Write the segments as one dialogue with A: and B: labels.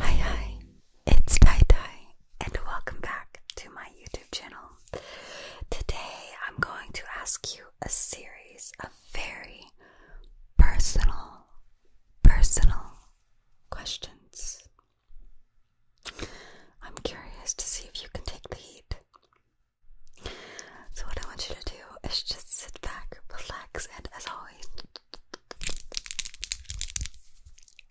A: Hi, hi, it's Tai and welcome back to my YouTube channel. Today, I'm going to ask you a series of very personal, personal questions. I'm curious to see if you can take the heat. So, what I want you to do is just sit back, relax, and as always,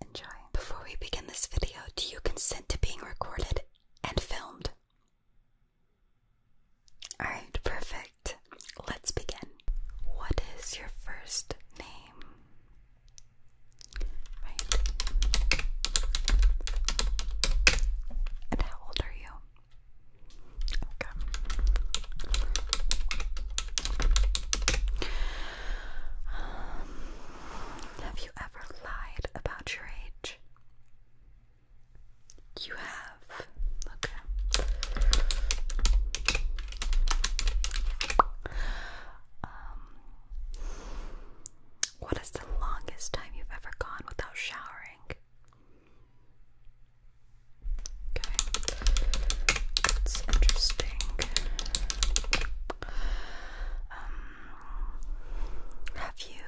A: enjoy. Before we begin this video, do you consent to being recorded and filmed? Alright, perfect. Let's begin. What is your first name? And how old are you? Okay. have you ever lied about your age? You have. Okay. Um, what is the longest time you've ever gone without showering? Okay, that's interesting. Um, have you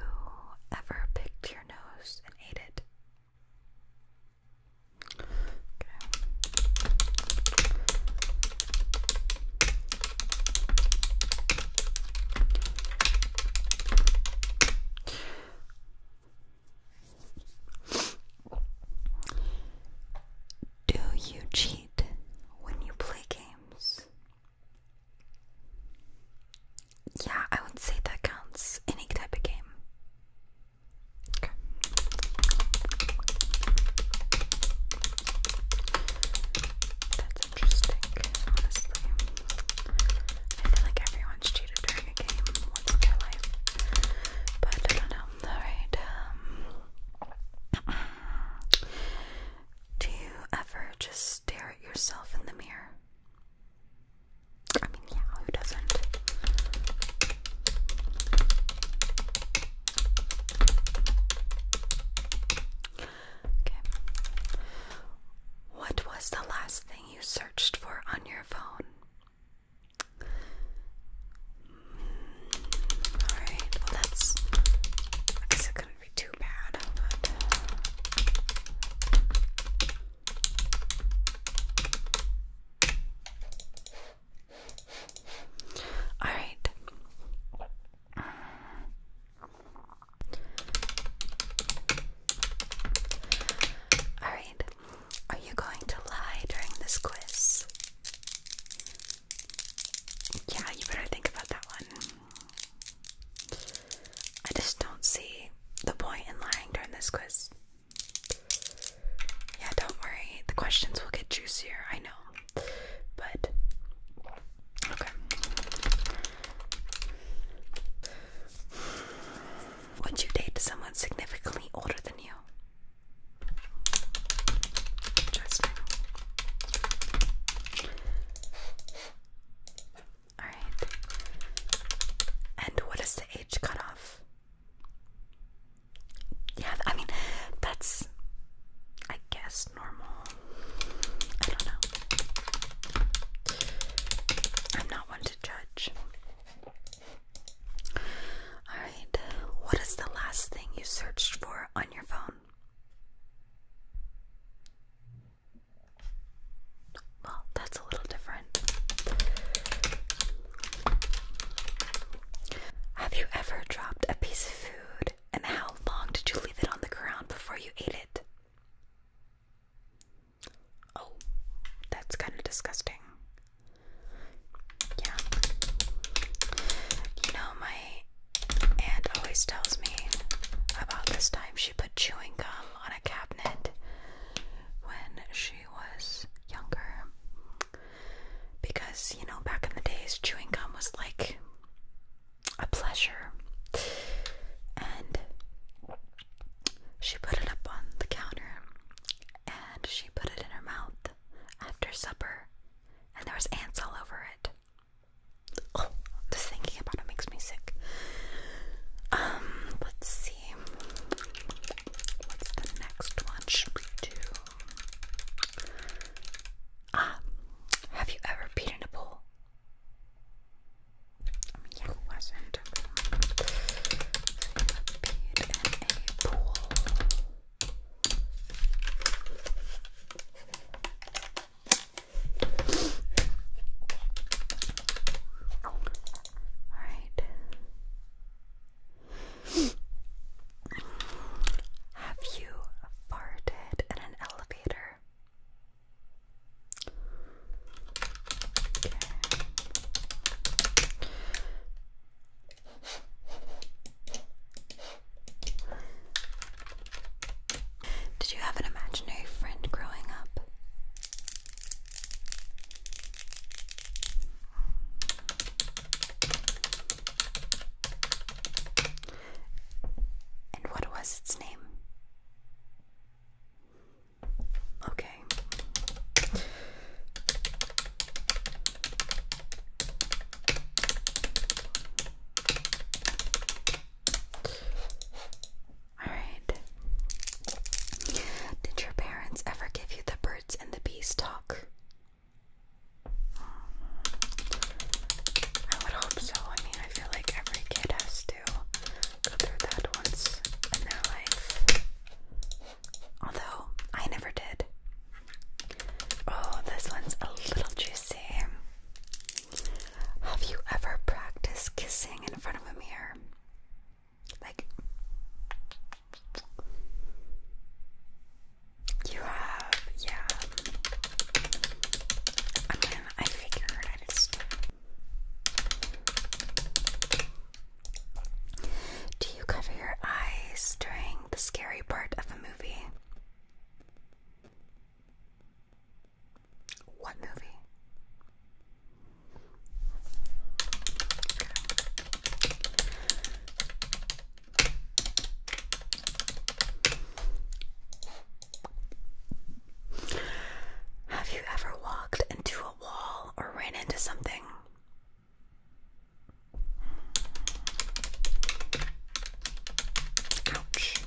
A: ever picked your nose and ate it? Do you cheat when you play games? Yeah, I would say that counts any type of game. That's interesting, I feel like everyone's cheated during a game once in their life. But I don't know. Alright, um, Do you ever just stare at yourself in the mirror? I mean, yeah, who doesn't? Okay. What was the last thing you searched for on your phone? Alright, well, that's. I it couldn't be too bad. All right. All right. Are you going to lie during this quiz? Yeah, you better think about that one. I just don't see the point in lying during this quiz. Yeah, don't worry. The questions will get juicier, I know. But okay. Would you date someone significantly older than you? Interesting. Alright. And what is the age cutoff? Yeah, I mean, that's, I guess, normal. I don't know. I'm not one to judge. Alright, what is the last thing you searched for on your phone? Well, that's a little different. Have you ever dropped a piece of food and how long did you leave it on the ground before you ate it? Oh, that's kind of disgusting. Yeah. You know, my aunt always tells me about this time she put chewing gum on a cabinet when she was younger. Because, you know, back in the days, chewing gum was like a pleasure. And she put it up on the counter and she put it in her mouth after supper, and there was ants all over it. Oh, just thinking about it makes me sick. Um, let's see. What's the next one? Should we do? Ah, have you ever peed in a pool? I mean, yeah, who hasn't? Peed in a pool. All right. Have you farted in an elevator? Did you have an imaginary friend growing up? And what was its name? Okay. All right. Did your parents ever give you the birds and the bees talk? Um, I would hope so. I mean, I feel like every kid has to go through that once in their life. Although, I never did. Oh, this one's a little juicy. Have you ever practiced kissing in front of a mirror? Like, you have, yeah. I mean, I figured I just. Do you cover your eyes during the scary part of a movie? What movie? Have you ever walked into a wall or ran into something? Ouch.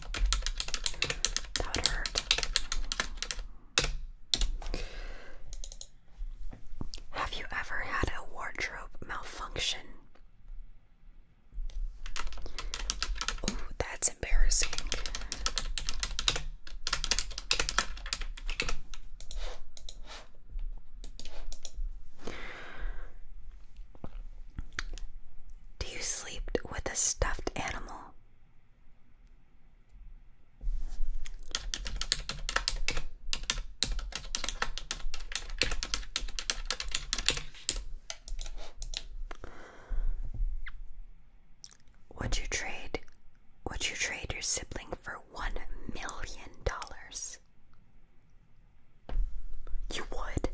A: Have you ever had a wardrobe malfunction? Ooh, that's embarrassing. Do you sleep with a stuffed animal? Would you trade would you trade your sibling for one million dollars? You would?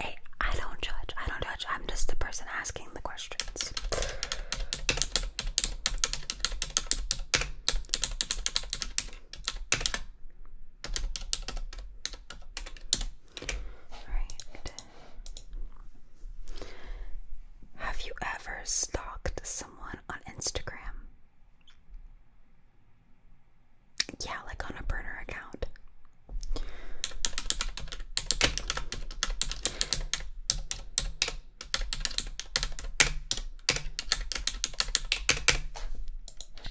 A: Hey, I don't judge. I don't judge. I'm just the person asking the questions. Right. Have you ever stalked someone on Instagram? Yeah, like on a burner account.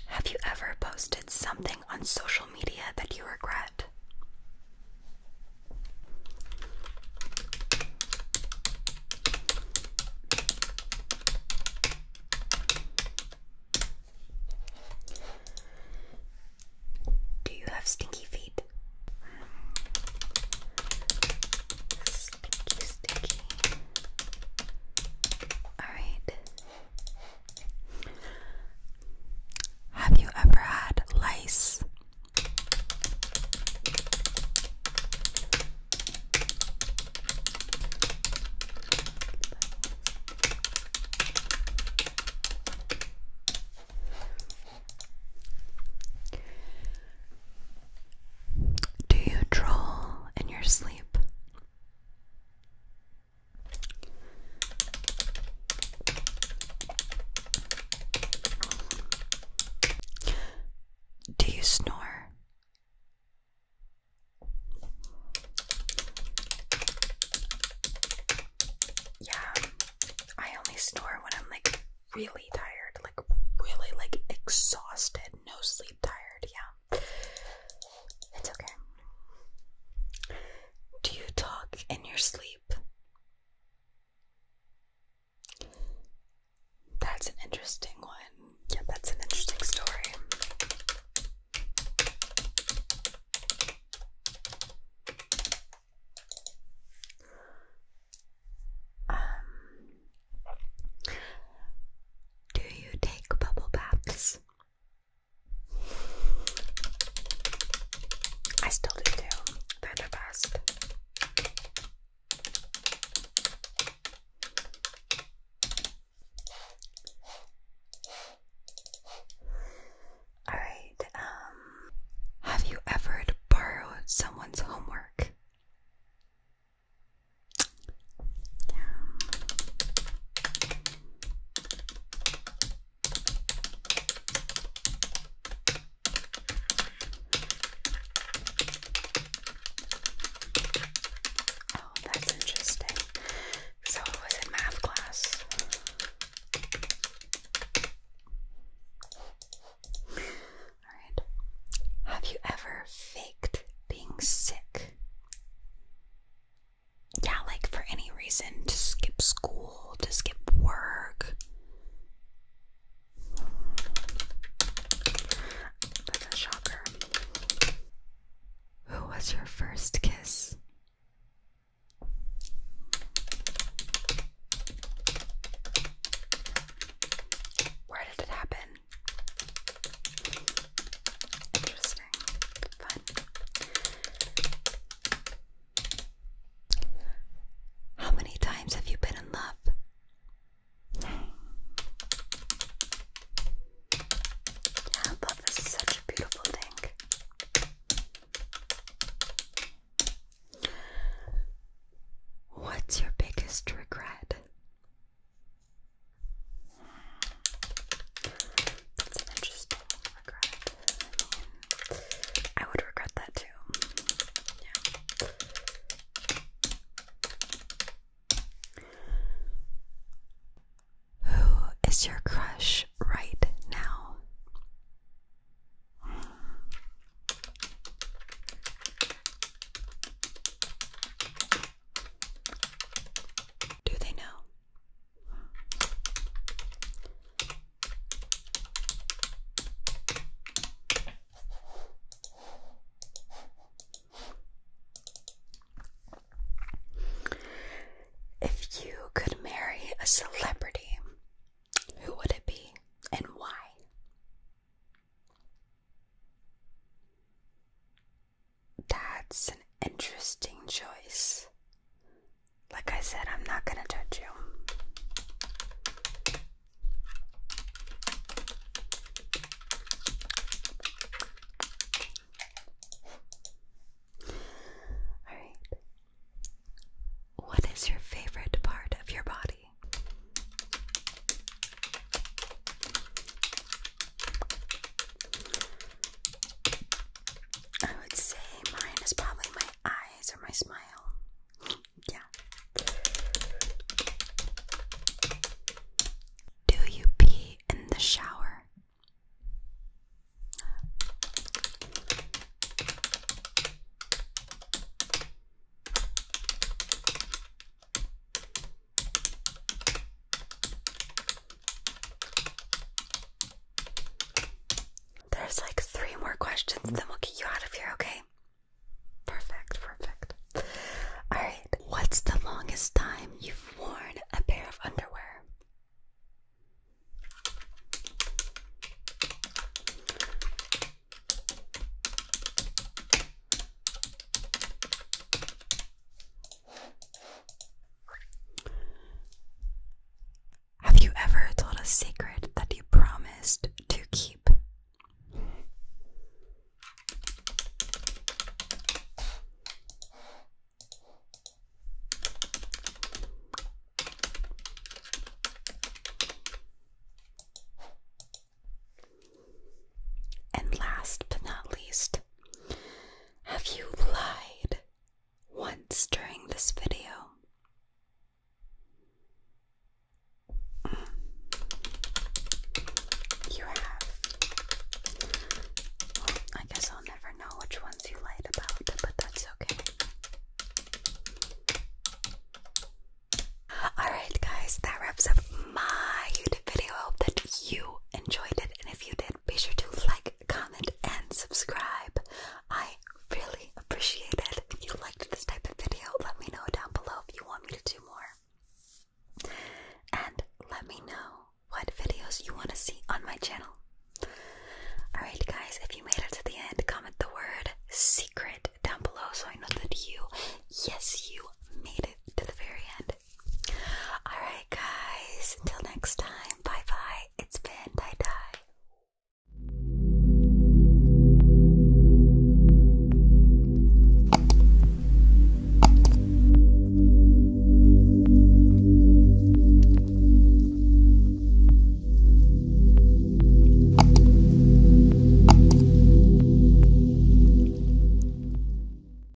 A: Have you ever posted something on social media that you regret? Do you have stinky feet? sticky, Alright. Have you ever had lice? Do you draw in your sleep? Do you snore? Yeah, I only snore when I'm like really tired, like really like exhausted, no sleep tired, yeah. It's okay. Do you talk in your sleep? That's an interesting one. Yeah, that's an interesting story. Um, do you take bubble baths? I still do too. They're Alright, um, have you ever borrowed someone's homework? Oh, that's interesting. So was in math class. Alright. Have you ever faked being sick? yeah, like for any reason to skip school, to skip work. shocker. Who was your first kiss? Where did it happen? How many times have you been in love? Yeah, love is such a beautiful thing. What's your biggest regret? That's an interesting regret. I would regret that too. Who is your crush right now? Do they know? If you could marry a celebrity, who would it be and why? That's an interesting choice. Like I said, I'm not gonna judge you. Alright. What is your favorite part of your body? I would say mine is probably my eyes or my smile. yeah. Do you pee in the shower? There's like three more questions, then we'll get you out of here, okay? Perfect, perfect. Alright, what's the longest time you've worn a pair of underwear? Have you ever told a secret that you promised to keep? And last but not least, have you lied once during this video? Mm. You have. I guess I'll never know which ones you lied about, but that's okay. Alright, guys, that wraps up my YouTube video. hope that you enjoyed it, and if you did, be sure to like, comment, and subscribe. I really appreciate it. If you liked this type of video, let me know down below if you want me to do more. And let me know what videos you want to see on my channel. Alright, guys, if you made it to the end, comment the word secret down below so I know that you, yes, you made it to the very end. Alright, guys, until next time, bye bye. It's been